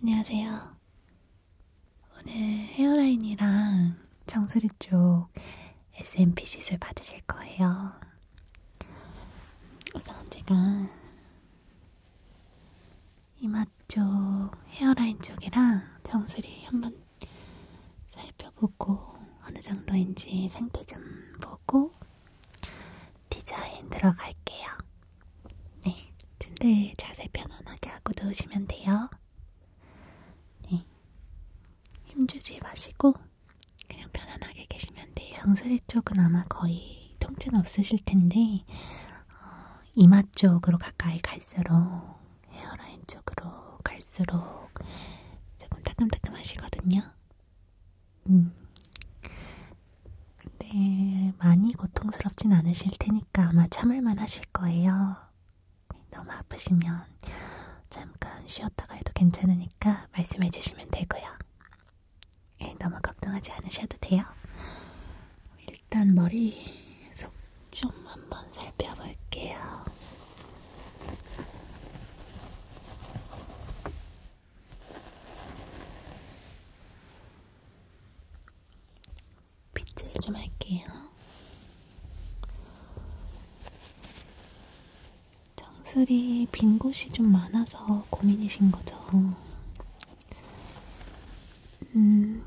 안녕하세요. 오늘 헤어라인이랑 정수리 쪽 SMP 시술 받으실 거예요. 우선 제가 이마 쪽 헤어라인 쪽이랑 정수리 한번 살펴보고 어느 정도인지 상태 좀 보고 디자인 들어갈게요. 네, 침대 자세 편안하게 하고 누우시면 돼요. 네, 힘주지 마시고 그냥 편안하게 계시면 돼요. 정수리 쪽은 아마 거의 통증 없으실 텐데 어, 이마 쪽으로 가까이 갈수록 헤어라인 쪽으로 갈수록 조금 따끔따끔하시거든요. 음. 네, 많이 고통스럽진 않으실 테니까 아마 참을만 하실 거예요. 너무 아프시면 잠깐 쉬었다가 해도 괜찮으니까 말씀해 주시면 되고요. 네, 너무 걱정하지 않으셔도 돼요. 일단 머리 속 좀 한번 살펴볼게요. 빗질 좀 할게요. 정수리 빈 곳이 좀 많아서 고민이신 거죠. 음.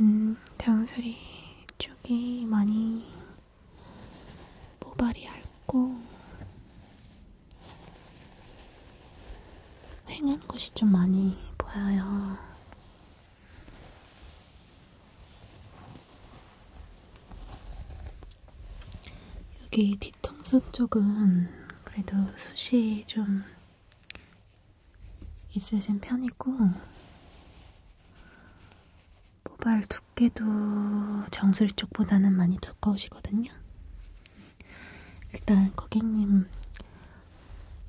음, 강수리 쪽이 많이 모발이 얇고 휑한 곳이 좀 많이 보여요. 여기 뒤통수 쪽은 그래도 숱이 좀 있으신 편이고, 모발 두께도 정수리 쪽보다는 많이 두꺼우시거든요. 일단 고객님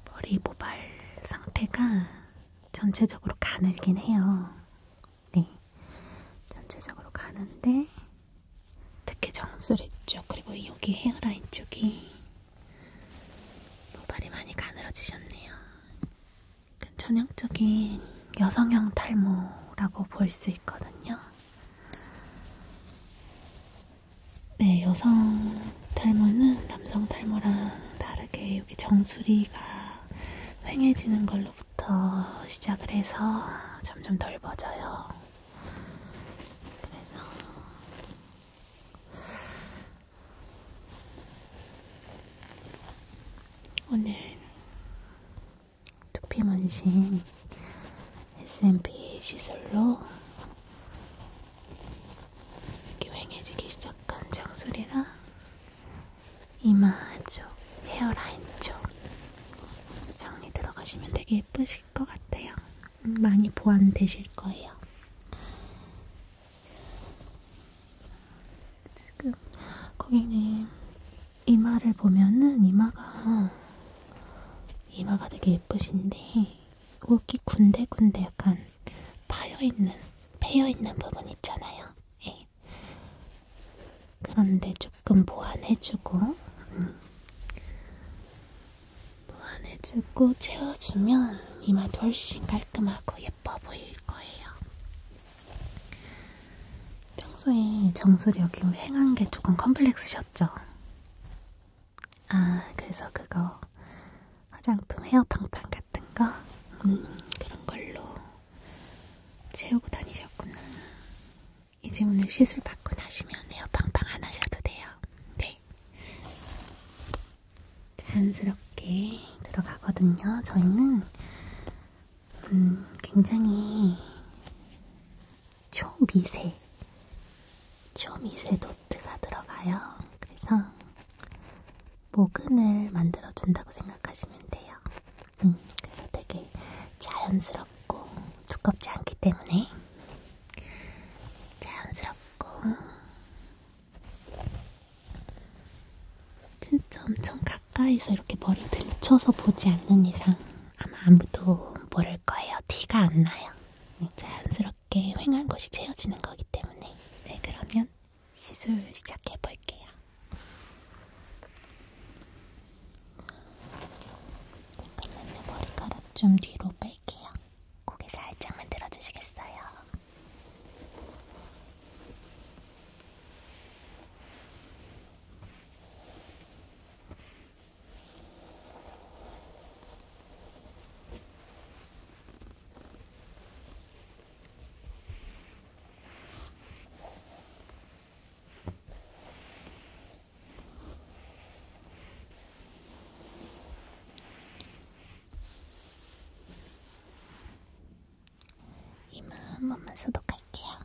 머리 모발 상태가 전체적으로 가늘긴 해요. 네, 전체적으로 가는데 특히 정수리 쪽 그리고 여기 헤어라인 쪽이 모발이 많이 가늘어지셨네요. 그러니까 전형적인 여성형 탈모라고 볼 수 있거든요. 네, 여성 탈모는 남성 탈모랑 다르게 여기 정수리가 휑해지는 걸로부터 시작을 해서 점점 덜어져요 그래서 오늘 두피 문신 S&P 시술로 유행해지기 시작한 장소리랑 이마 쪽, 헤어라인 쪽 정리 들어가시면 되게 예쁘실 것 같아요. 많이 보완되실 거예요. 지금 고객님 이마를 보면은 이마가 이마가 되게 예쁘신데 여기 군데군데 약간 파여있는, 패여있는 부분 있잖아요. 예. 그런데 조금 보완해주고 음. 보완해주고 채워주면 이마도 훨씬 깔끔하고 예뻐 보일 거예요. 평소에 정수력이 휑한 게 조금 컴플렉스셨 있었죠. 아, 그래서 그거 화장품 헤어팡팡 같은 거? 음, 그런 걸로 채우고 다니셨구나. 이제 오늘 시술 받고 나시면 헤어팡팡 안 하셔도 돼요. 네. 자연스럽게 들어가거든요. 저희는 음, 굉장히 초미세, 초미세 노트가 들어가요. 그래서 모근을 만들어준다고 생각하시면 돼요. 음, 그래서 되게 자연스럽고 두껍지 않기 때문에 자연스럽고 진짜 엄청 가까이서 이렇게 머리 들쳐서 보지 않는 이상 아마 아무도 모를 거예요. 티가 안 나요. 네, 자연스럽게 횡한 곳이 채워지는 거기 때문에. 네, 그러면 시술 시작해 볼게요. 잠깐만요. 머리카락 좀 뒤로 뺄게요. 고개 살짝만 들어주시겠어요? 이만 한번만 소독할게요.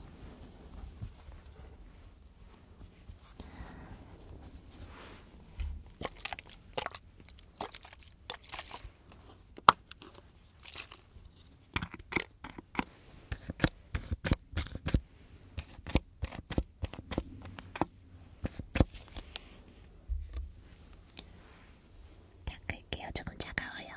닦을게요. 조금 차가워요.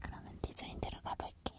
그러면 디자인 들어가 볼게요.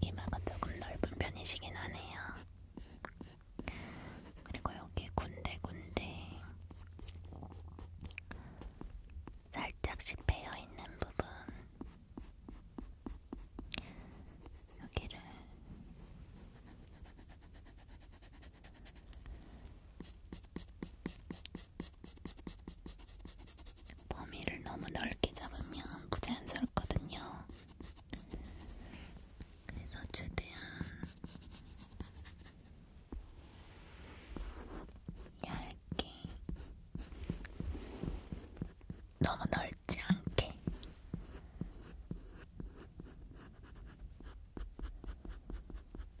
이마가 조금 넓은 편이시긴 하네요. 그리고 여기 군데군데 살짝씩 베어 있는 부분 여기를 범위를 너무 넓게 잡으면 부자연스럽거든요. 그래서 최대한 얇게 너무 넓지 않게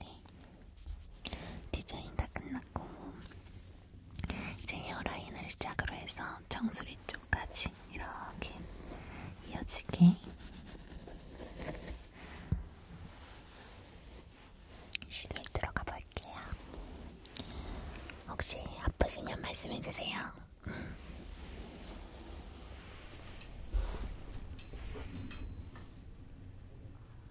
네. 디자인 다 끝났고 이제 헤어라인을 시작으로 해서 정수리 쪽까지 이렇게 이어지게 시계 들어가 볼게요. 혹시 아프시면 말씀해주세요.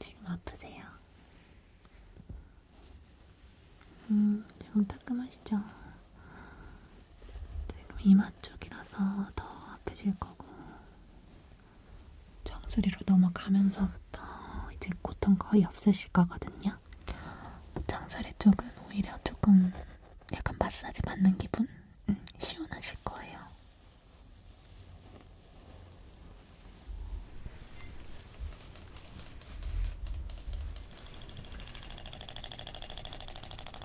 지금 아프세요? 음, 지금 따끔하시죠? 지금 이마 쪽이라서 더 아프실 거고 정수리로 넘어가면서부터 이제 고통 거의 없으실 거거든요. 정수리 쪽은 오히려 조금 약간 마사지 받는 기분? 음, 시원하실 거예요.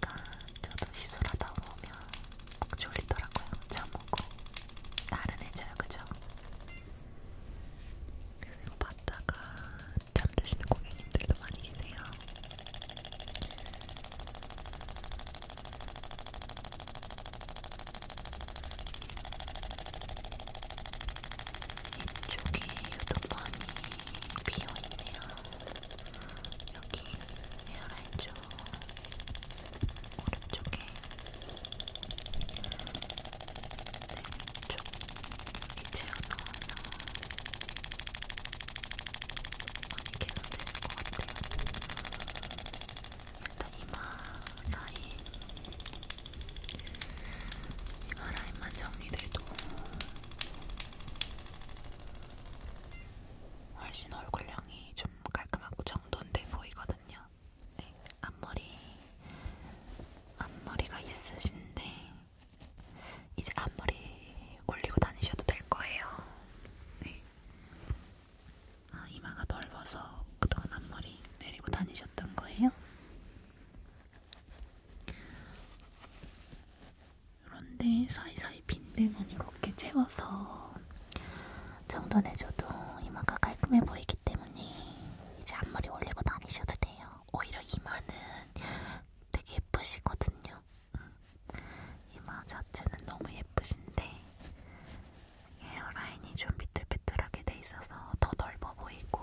보니까 저도 시술하다 오면 꼭 졸리더라고요. 잠오고 나른해져요, 그죠? 그래서 이거 봤다가 잠드시는 고객님들도 많이 계세요. 이쪽이 유독 많이 비어있네요. 여기 에어라인 쪽 오른쪽에 왼쪽 이제 나와서 많이 개선될 것 같아요. 일단 이마 라인 이마 라인만 정리돼도 훨씬 얼굴형이 좀 깔끔하고 정돈돼 보이거든요. 네, 앞머리 앞머리가 있으신데 이제 앞머리 올리고 다니셔도 될 거예요. 네. 아, 이마가 넓어서 그동안 앞머리 내리고 다니셨던 거예요? 이런데 사이사이 빈들만 이렇게 채워서 정돈해줘도 이마가 깔끔해 보이기 때문에 이제 앞머리 올리고 다니셔도 돼요. 오히려 이마는 되게 예쁘시거든요. 음. 이마 자체는 너무 예쁘신데 헤어라인이 좀 비뚤비뚤하게 돼 있어서 더 넓어 보이고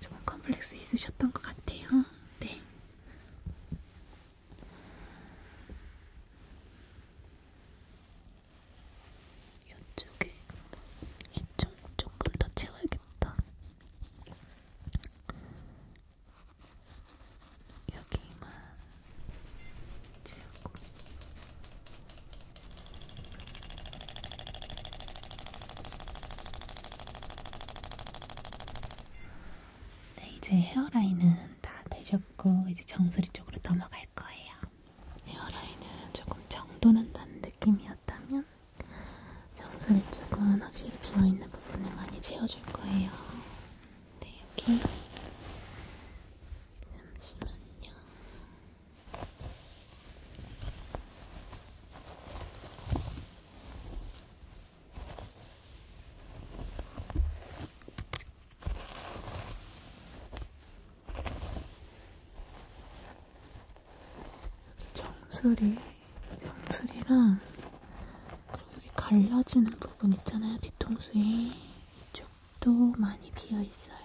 좀 컴플렉스 있으셨던 것 같아요. 네. 이쪽에 이쪽 조금 더 채워야겠다. 여기만 채우고. 네, 이제 헤어라인은 다 되셨고 이제 정수리 쪽으로 넘어갈 거예요. 헤어라인은 조금 정돈한다는 느낌이었다면 정수리 쪽은 확실히 비어있는 부분을 많이 채워줄 거예요. 네, 여기 잠시만요. 여기 정수리, 정수리랑 그리고 여기 갈라지는 부분 있잖아요. 뒤통수에 이쪽도 많이 비어 있어요.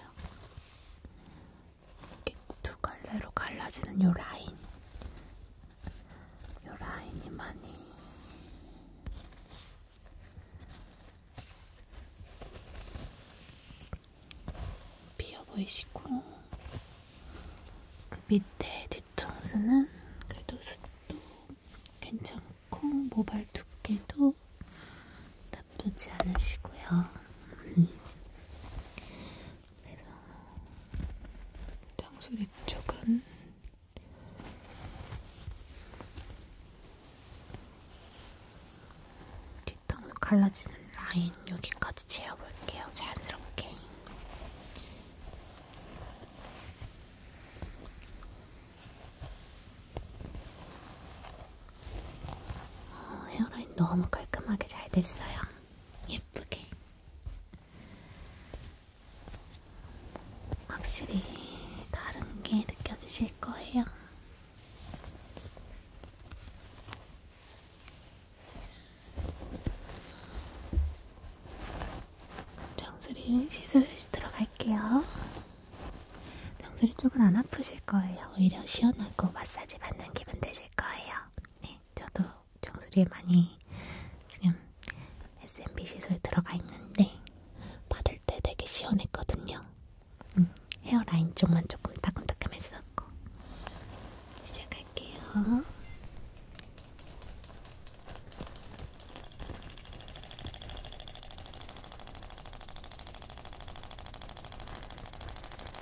두 갈래로 갈라지는 요 라인 요 라인이 많이 비어 보이시고 그 밑에 뒤통수는 그래도 숱도 괜찮고 모발 두께도 나쁘지 않으시고요. 음. 그래서 장소리 쪽은 뒷땅으로 갈라지는 라인 여기까지 채워볼게요. 자연스럽게. 어, 헤어라인 너무 깔끔하게 잘 됐어요. 예쁘게. 확실히 다른 게 느껴지실 거예요. 정수리 시술시 들어갈게요. 정수리 쪽은 안 아프실 거예요. 오히려 시원하고 마사지 받는 기분 되실 거예요. 네, 저도 정수리에 많이 지금 SMB 시술 들어가 있는데 받을 때 되게 시원했거든요. 음, 헤어라인 쪽만 조금 따끔따끔했었고 시작할게요.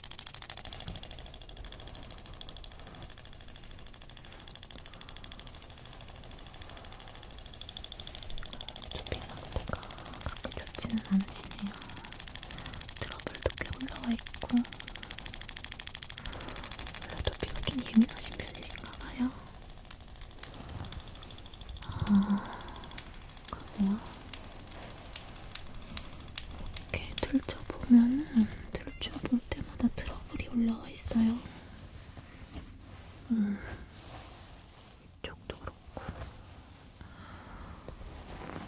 쇼핑 상태가 그렇게 좋지는 않으시네요. 트러블도 꽤 올라와 있고 원래 두피가 좀 예민하신 편이신가 봐요. 아, 그러세요? 이렇게 들춰보면은 들춰볼 때마다 트러블이 올라와 있어요. 음, 이쪽도 그렇고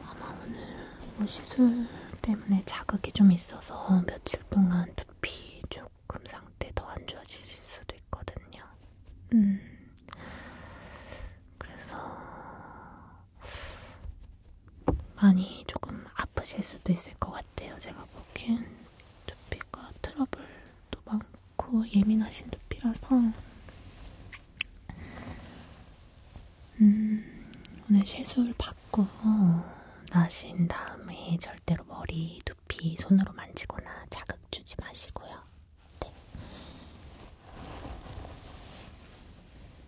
아마 오늘 뭐 시술 때문에 자극이 좀 있어서 며칠 동안 두피 조금 상태 더 안 좋아질 수도 있거든요. 음, 그래서 많이 조금 아프실 수도 있을 것 같아요. 제가 보기엔 두피가 트러블도 많고 예민하신 두피라서 음, 오늘 세수를 받고 나신 다음에 절대로 머리, 두피 손으로 만지거나 자극 주지 마시고요. 네.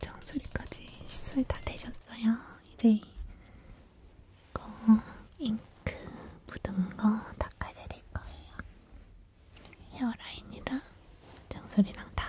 정수리까지 시술 다 되셨어요. 이제 이거 잉크 묻은 거 닦아드릴 거예요. 헤어라인이랑 정수리랑 다.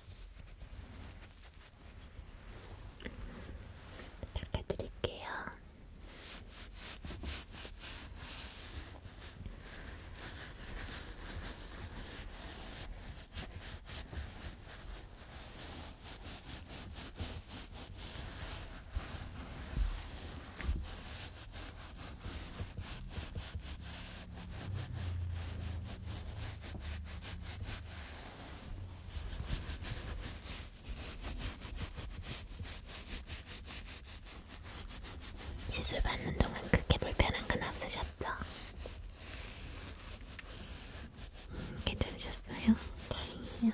닦아드릴게요. 시술 받는 동안 크게 불편한 건 없으셨죠? 음, 괜찮으셨어요? 다행이에요.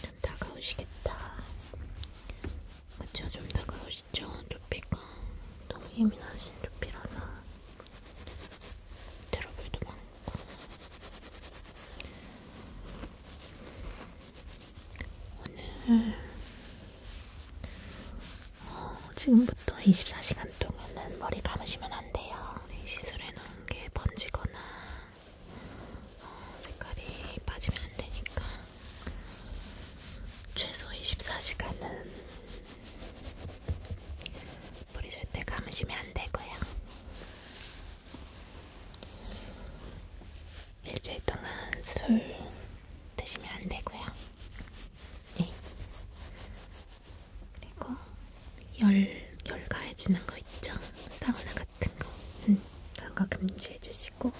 좀 다가오시겠다. 그쵸? 좀 다가오시죠? 두피가 너무 예민하신 두피라서 트러블도 많고 오늘 어, 지금부터 24시간 동안은 머리 감으시면 안 돼요. 시술해 놓은 게 번지거나 색깔이 빠지면 안 되니까 최소 24시간은 물이 절대 감으시면 안 되고요. 일주일 동안 술 드시면 안 되고요. 네. 그리고 열, 열 가해지는 거 있죠? 사우나 같은 거, 응, 그런 거 금지해주시고.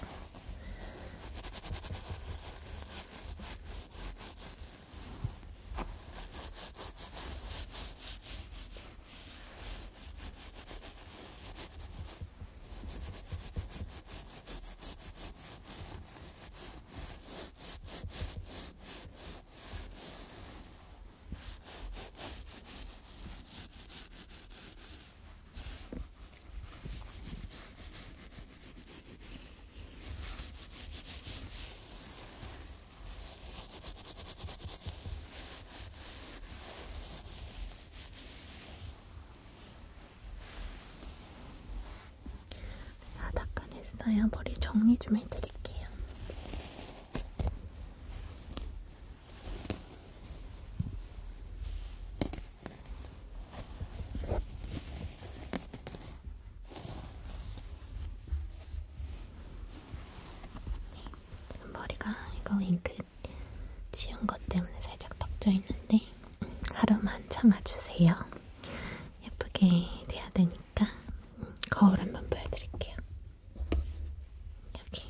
아닦아냈어요. 머리 정리 좀 해드릴게요. 지금 머리가 이거 잉크 지운 것 때문에 살짝 덮져 있는데 음, 하루만 참아주세요. 예쁘게 돼야 되니까 음, 거울 한번 보여드릴게요. 여기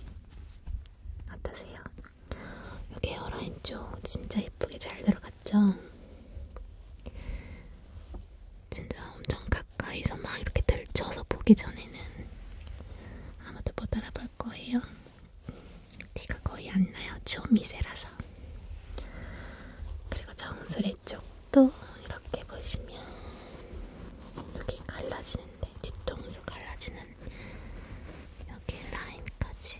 어떠세요? 여기 헤어라인 쪽 진짜 예쁘게 잘 들어갔죠? 진짜 엄청 가까이서 막 이렇게 들쳐서 보기 전에는 아무도 못 알아볼 거예요. 티가 거의 안 나요. 좀 미세라서. 그리고 정수리 쪽도 이렇게 보시면 여기 갈라지는데 뒤통수 갈라지는 여기 라인까지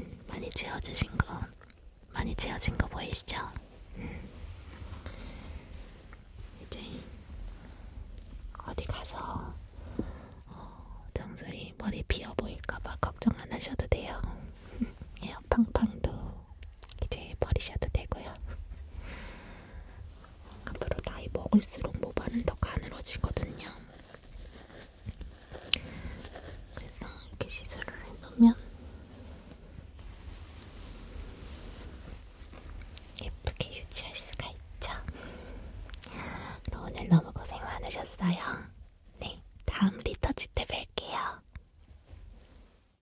음, 많이 채워지신 거 많이 채워진 거 보이시죠? 음. 이제 어디 가서 어, 정수리 머리 비어 보일까봐 걱정 안 하셔도 돼요. 에어팡팡도 이제 버리셔도 되고요. 앞으로 나이 먹을수록 모발은 더 가늘어지거든요. 그래서 이렇게 시술을 해놓으면 예쁘게 유지할 수가 있죠. 오늘 너무 고생 많으셨어요. 네, 다음 리터지 때 뵐게요.